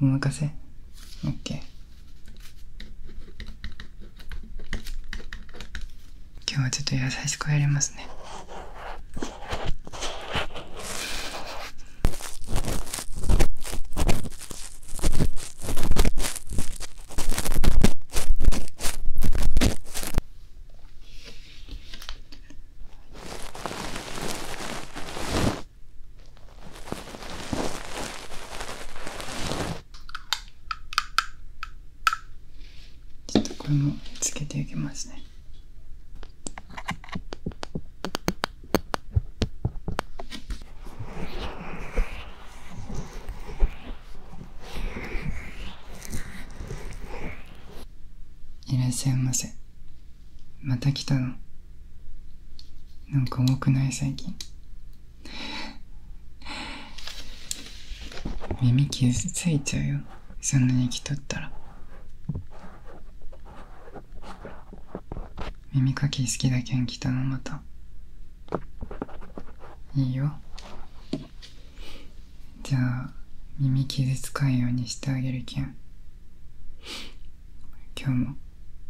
お任せ ?OK 今日はちょっと優しくやりますねうん。ちょっとこれもつけていきますねいらっしゃいませまた来たのなんか多くない最近耳傷ついちゃうよそんなに来とったら耳かき好きだけん来たのまたいいよじゃあ耳傷つかんようにしてあげるけん今日も。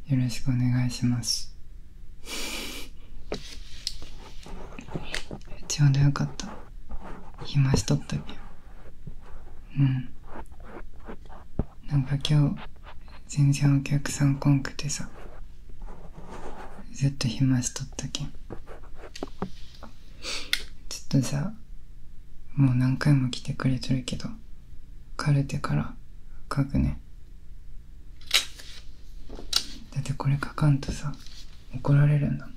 よろしくお願いします。ちょうどよかった。暇しとったけん。うん。なんか今日、全然お客さんこんくてさ。ずっと暇しとったけん。ちょっとさ、もう何回も来てくれとるけど、かれてから書くねだってこれ書かんとさ怒られるんだは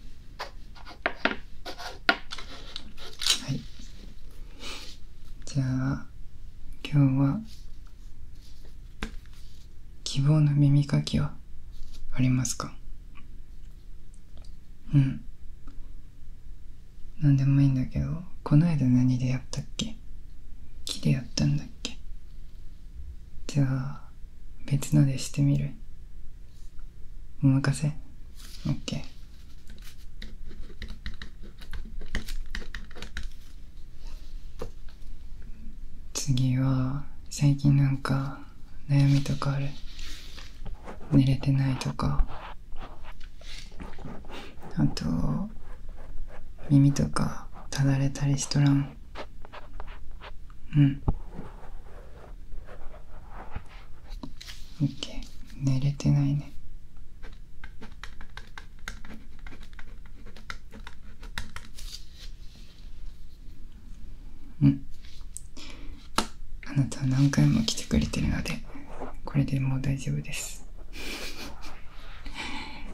いじゃあ今日は希望の耳かきはありますかうん何でもいいんだけどこの間何でやったっけ木でやったんだっけじゃあ別のでしてみるお任せ OK 次は最近なんか悩みとかある寝れてないとかあと耳とかただれたりしとらんうんオッ寝れてないねうんあなたは何回も来てくれてるのでこれでもう大丈夫です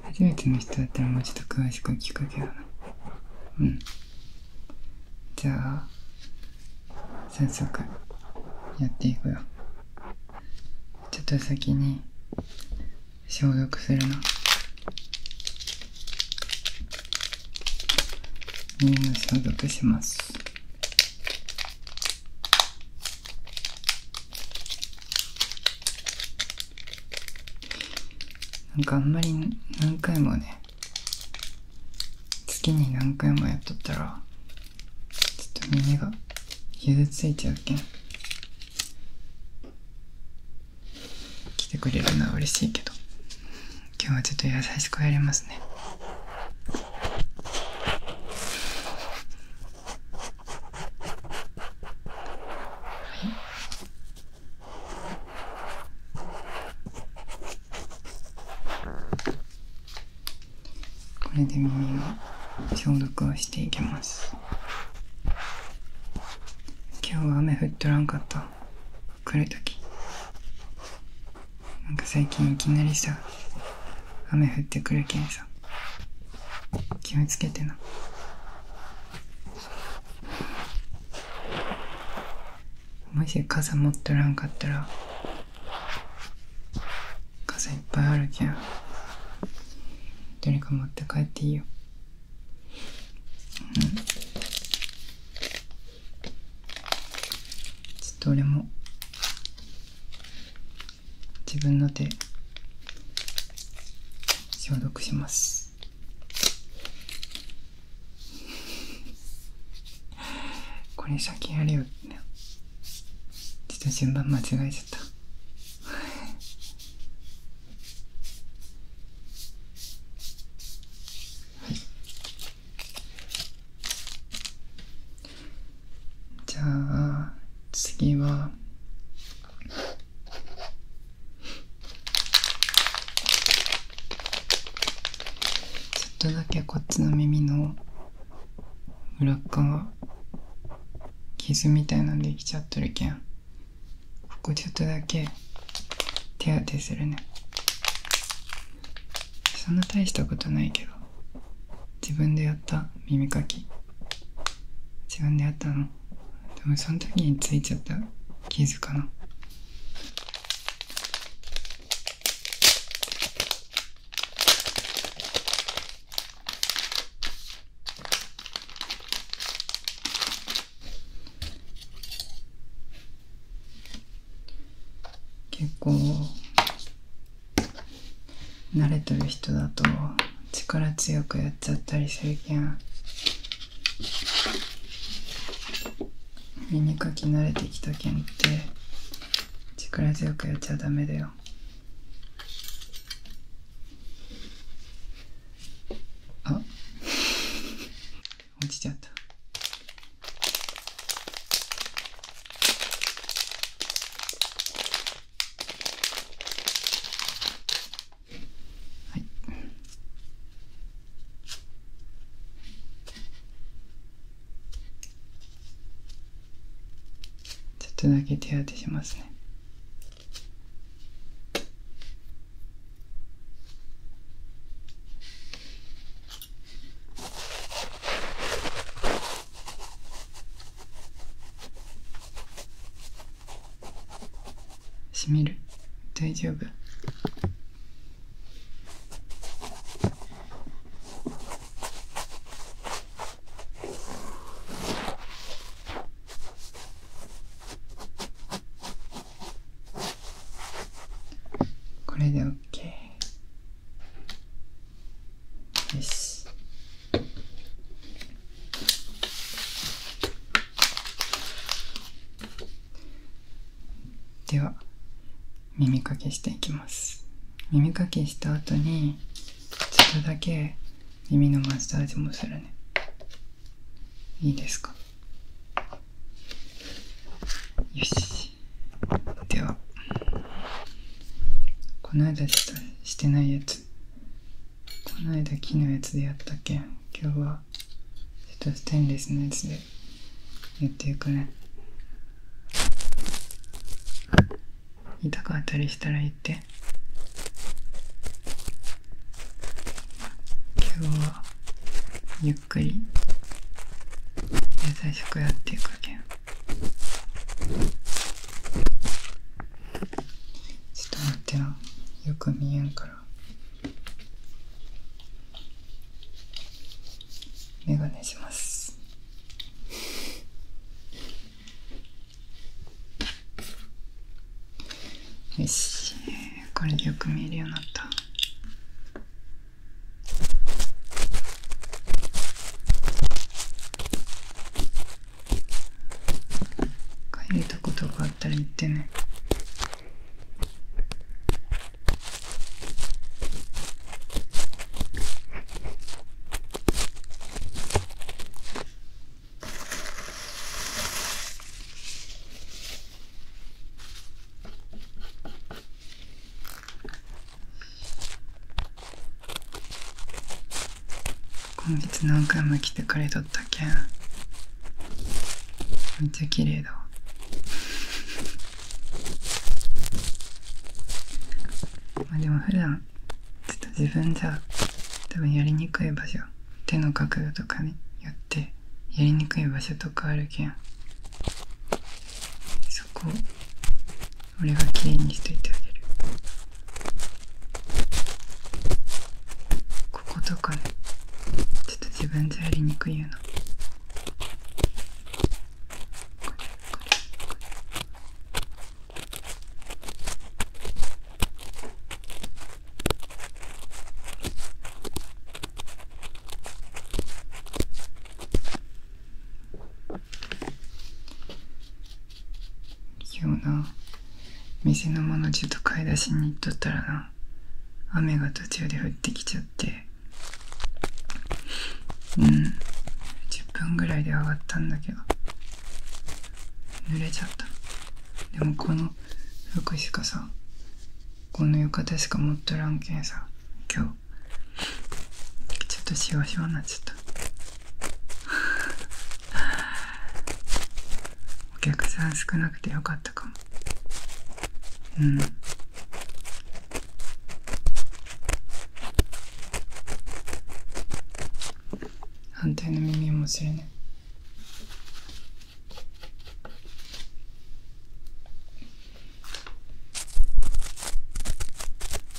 初めての人だったらもうちょっと詳しく聞くけどなうんじゃあ早速やっていくよちょっと先に消毒するな耳の消毒しますなんかあんまり何回もね月に何回もやっとったらちょっと耳が傷ついちゃうけん来てくれるのは嬉しいけど今日はちょっと優しくやりますねこれで耳が消毒をしていきます今日は雨降っとらんかった来る時なんか最近いきなりう。雨降ってくるけんさ気をつけてなもし傘持っとらんかったら傘いっぱいあるけんどれか持って帰っていいよ、うん、ちょっと俺も自分の手消毒します これ先やれよってねちょっと順番間違えちゃったはい じゃあ次はちょっとだけこっちの耳の裏側傷みたいなんできちゃっとるけんここちょっとだけ手当てするねそんな大したことないけど自分でやった耳かき自分でやったのでもその時についちゃった傷かな結構慣れてる人だと力強くやっちゃったりするけん耳かき慣れてきたけんって力強くやっちゃダメだよあ 落ちちゃったはいちょっとだけ手当てしますね閉める大丈夫これで OK よし。では、耳かきしていきます。耳かきした後に、ちょっとだけ耳のマッサージもするね。いいですかよし。ではこの間ちょっとしてないやつこの間木のやつでやったけん今日はちょっとステンレスのやつでやっていくね痛かったりしたら言って今日はゆっくり野菜食やっていくけんちょっと待ってなよく見えんから眼鏡しますよしこれでよく見えるようになった書いたことがあったら言ってね今月何回も来てくれとったけんめっちゃ綺麗だわ まあでも普段ちょっと自分じゃ多分やりにくい場所手の角度とかによってやりにくい場所とかあるけんそこ俺がきれいにしといてあげるこことかねちょっと自分じゃやりにくいようなこれこれこれこ今日な店のものちょっと買い出しに行っとったらな雨が途中で降ってきちゃってうん10分ぐらいで上がったんだけど濡れちゃったでもこの服しかさこの浴衣しか持っとらんけんさ今日。ちょっとしわしわになっちゃったお客さん少なくてよかったかもうん安定の耳もするね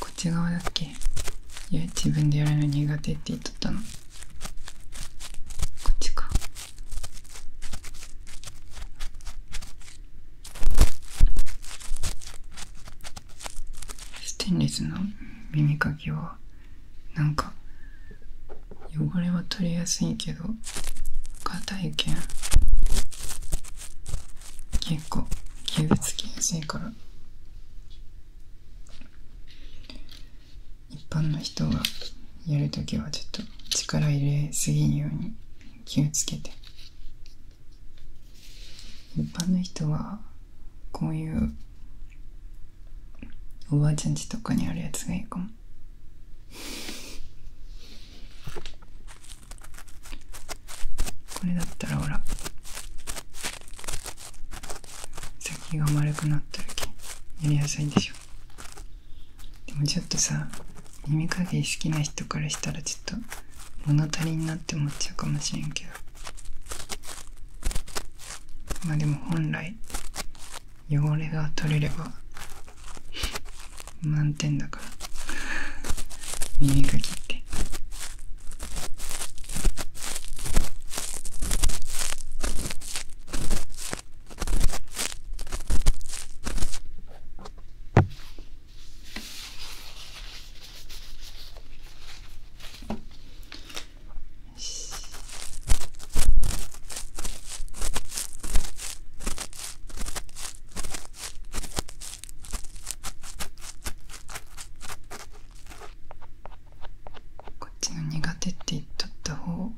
こっち側だっけ自分でやるの苦手って言っとったのこっちかステンレスの耳かきはなんか汚れは取りやすいけど硬いけん結構傷つきやすいから一般の人は、やるときはちょっと力入れすぎるように気をつけて一般の人はこういうおばあちゃんちとかにあるやつがいいかもこれだったらほら先が丸くなった時やりやすいでしょでもちょっとさ耳かき好きな人からしたらちょっと物足りんなって思っちゃうかもしれんけどまあでも本来汚れが取れれば満点だから耳かきってよしこっちの苦手って言っとった方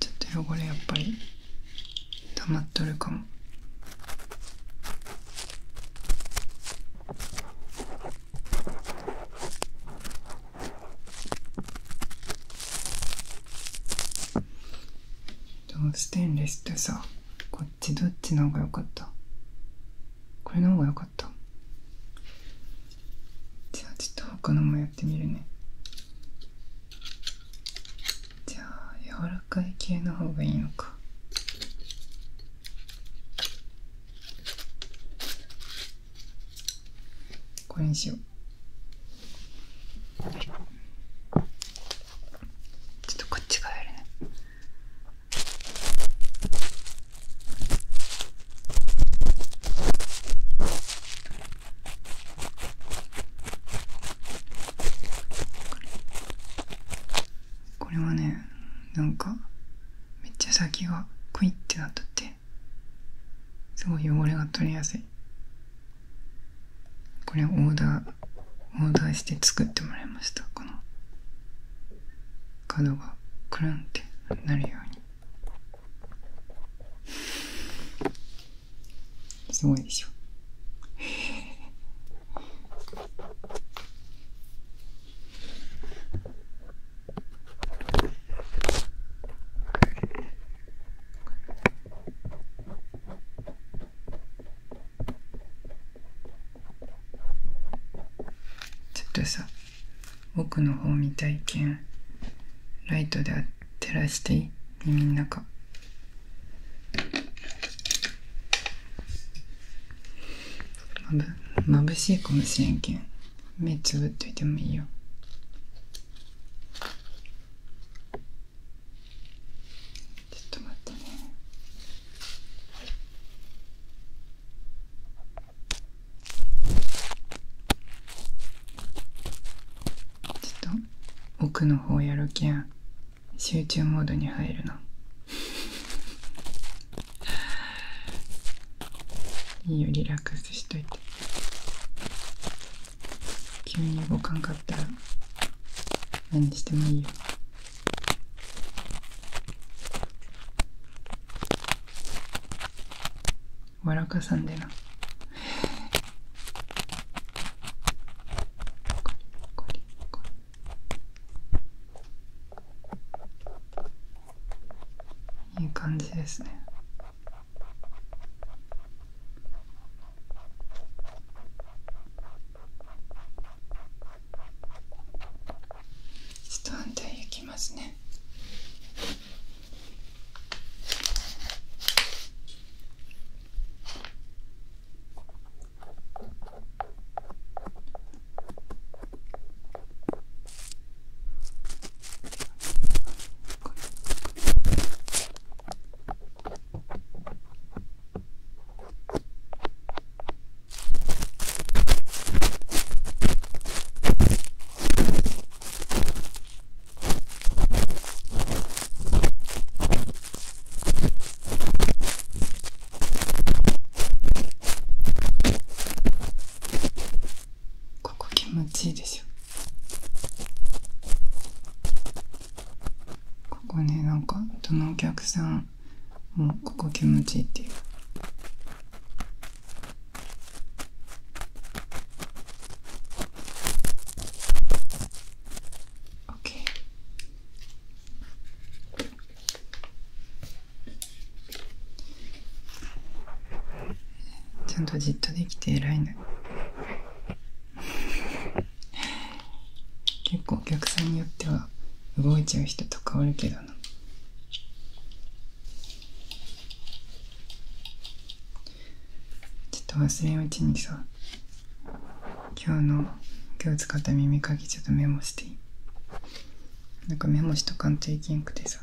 ちょっと汚れやっぱり溜まっとるかも。ステンレスってさこっちどっちの方がよかったこれの方がよかったじゃあちょっと他のもやってみるねじゃあ柔らかい系の方がいいのかこれにしようちょっとこっちがやるねこれはねなんかめっちゃ先がクイってなったってすごい汚れが取れやすいこれオーダーオーダーして作ってもらいましたこの角がクルンってなるようにすごいでしょちょっとさ奥の方見たいけんライトで照らしてい耳の中まぶまぶしいかもしれんけん目つぶっといてもいいよちょっと待ってねちょっと奥の方やるけや、集中モードに入るの。いいよリラックスしといて。急に動かんかったら何してもいいよ笑かさんでないい感じですねちょンと行きますねここ気持ちいいでしょここねなんかどのお客さんもここ気持ちいいっていう。OK ちゃんとじっとできて偉いの。結構お客さんによっては動いちゃう人とかおるけどなちょっと忘れんうちにさ今日の今日使った耳かきちょっとメモしていいなんかメモしとかんといけんくてさ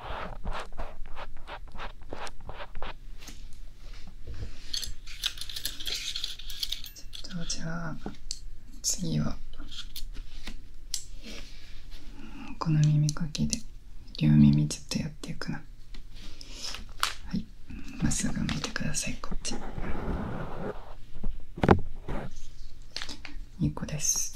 ちょっとじゃあ次はこの耳かきで両耳ちょっとやっていくなはいまっすぐ見てくださいこっち2個です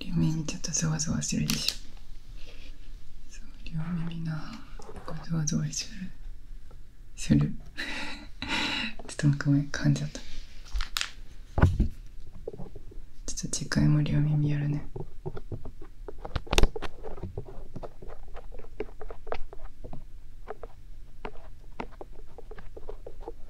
両耳ちょっとゾわゾわするでしょそう両耳なゾわゾわするする ちょっとごめん噛んじゃったちょっと次回も両耳やるね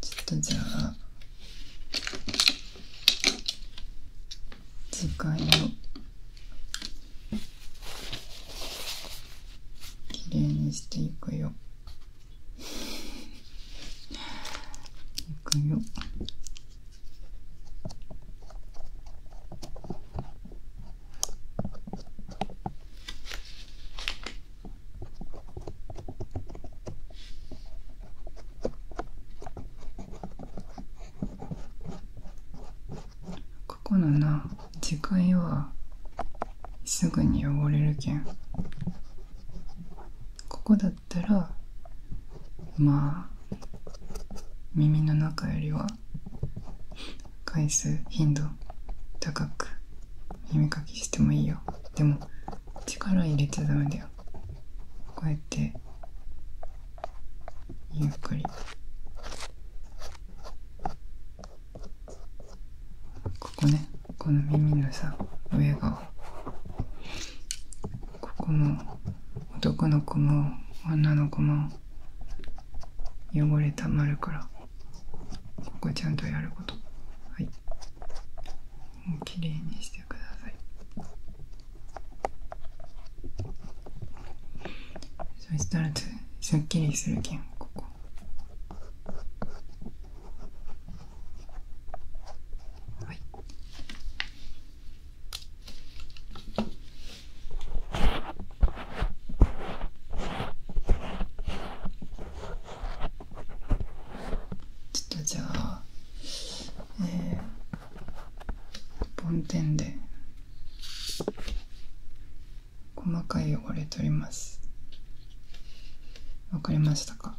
ちょっとじゃあ次回をきれいにしていくよ いくよここのな次回はすぐに汚れるけんここだったらまあ耳の中よりは回数頻度高く耳かきしてもいいよでも力入れちゃダメだよこうやってゆっくりここねこの耳のさ上が。ここも男の子も女の子も汚れたまるからここちゃんとやることはいもうきれいにしてくださいそしたらすっきりするけんここはいちょっとじゃあええ。梵天で細かい汚れ取りますわかりましたか、はい、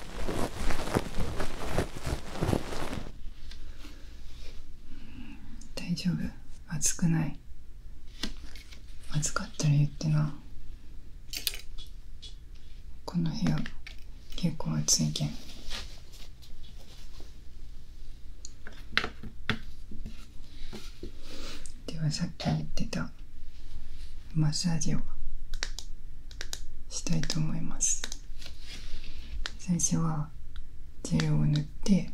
うん。大丈夫暑くない暑かったら言ってなこの部屋結構暑いけんではさっき言ってたマッサージをしたいと思います最初はジェルを塗って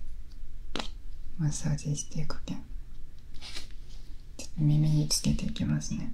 マッサージしていくけん耳につけていきますね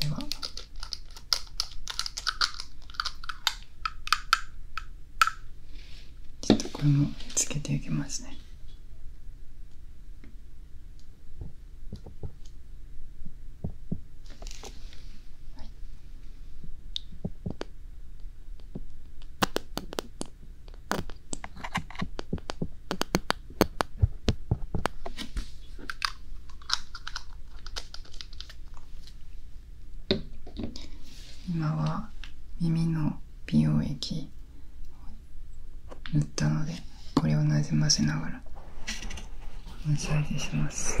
ではちょっとこれもつけていきますね今は耳の美容液塗ったのでこれをなじませながらマッサージします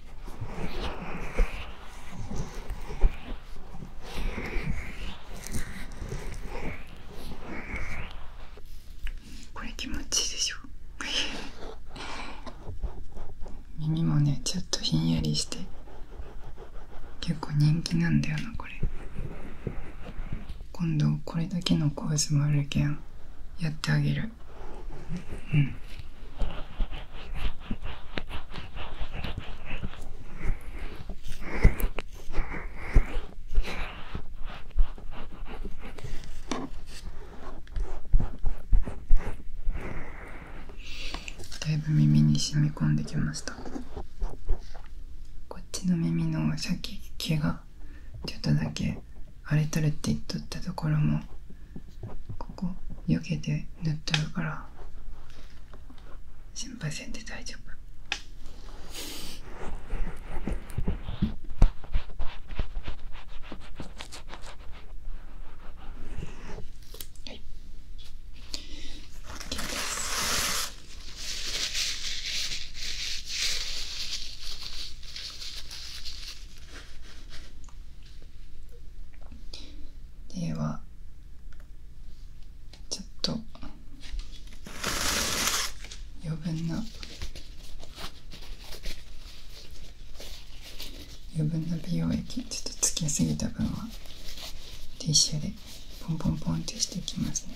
これ気持ちいいでしょ 耳もねちょっとひんやりして結構人気なんだよなこれ今度これだけのコースもあるけんやってあげるうん、だいぶ耳に染み込んできましたこっちの耳のさっき毛がちょっとだけあれ取れって言っとったところもここよけて塗っとるから心配せんで大丈夫はい OK ですではちょっと余分な余分な美容液ちょっとつけすぎた分はティッシュでポンポンポンってしていきますね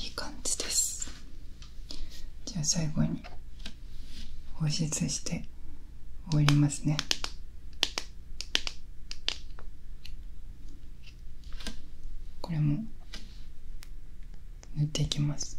いい感じですじゃあ最後に放出して終わりますねこれも塗っていきます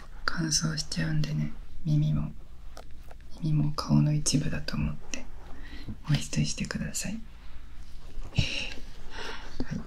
乾燥しちゃうんでね耳も耳も顔の一部だと思って保湿してくださいはいはい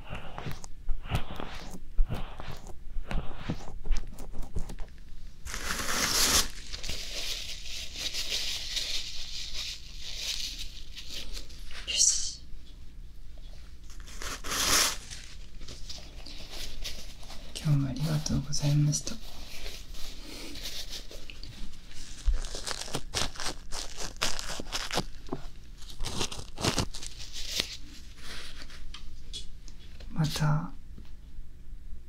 よし今日もありがとうございましたまた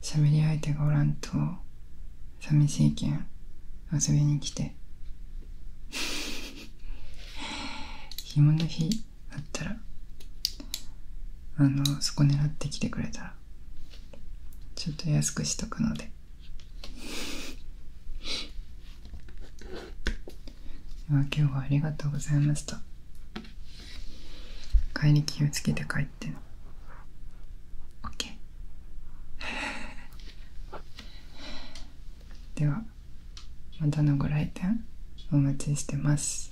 喋り相手がおらんと寂しいけん遊びに来て 暇の日あったらあのそこ狙ってきてくれたらちょっと安くしとくのででは今日はありがとうございました帰り気をつけて帰ってね OK ではまたのご来店お待ちしてます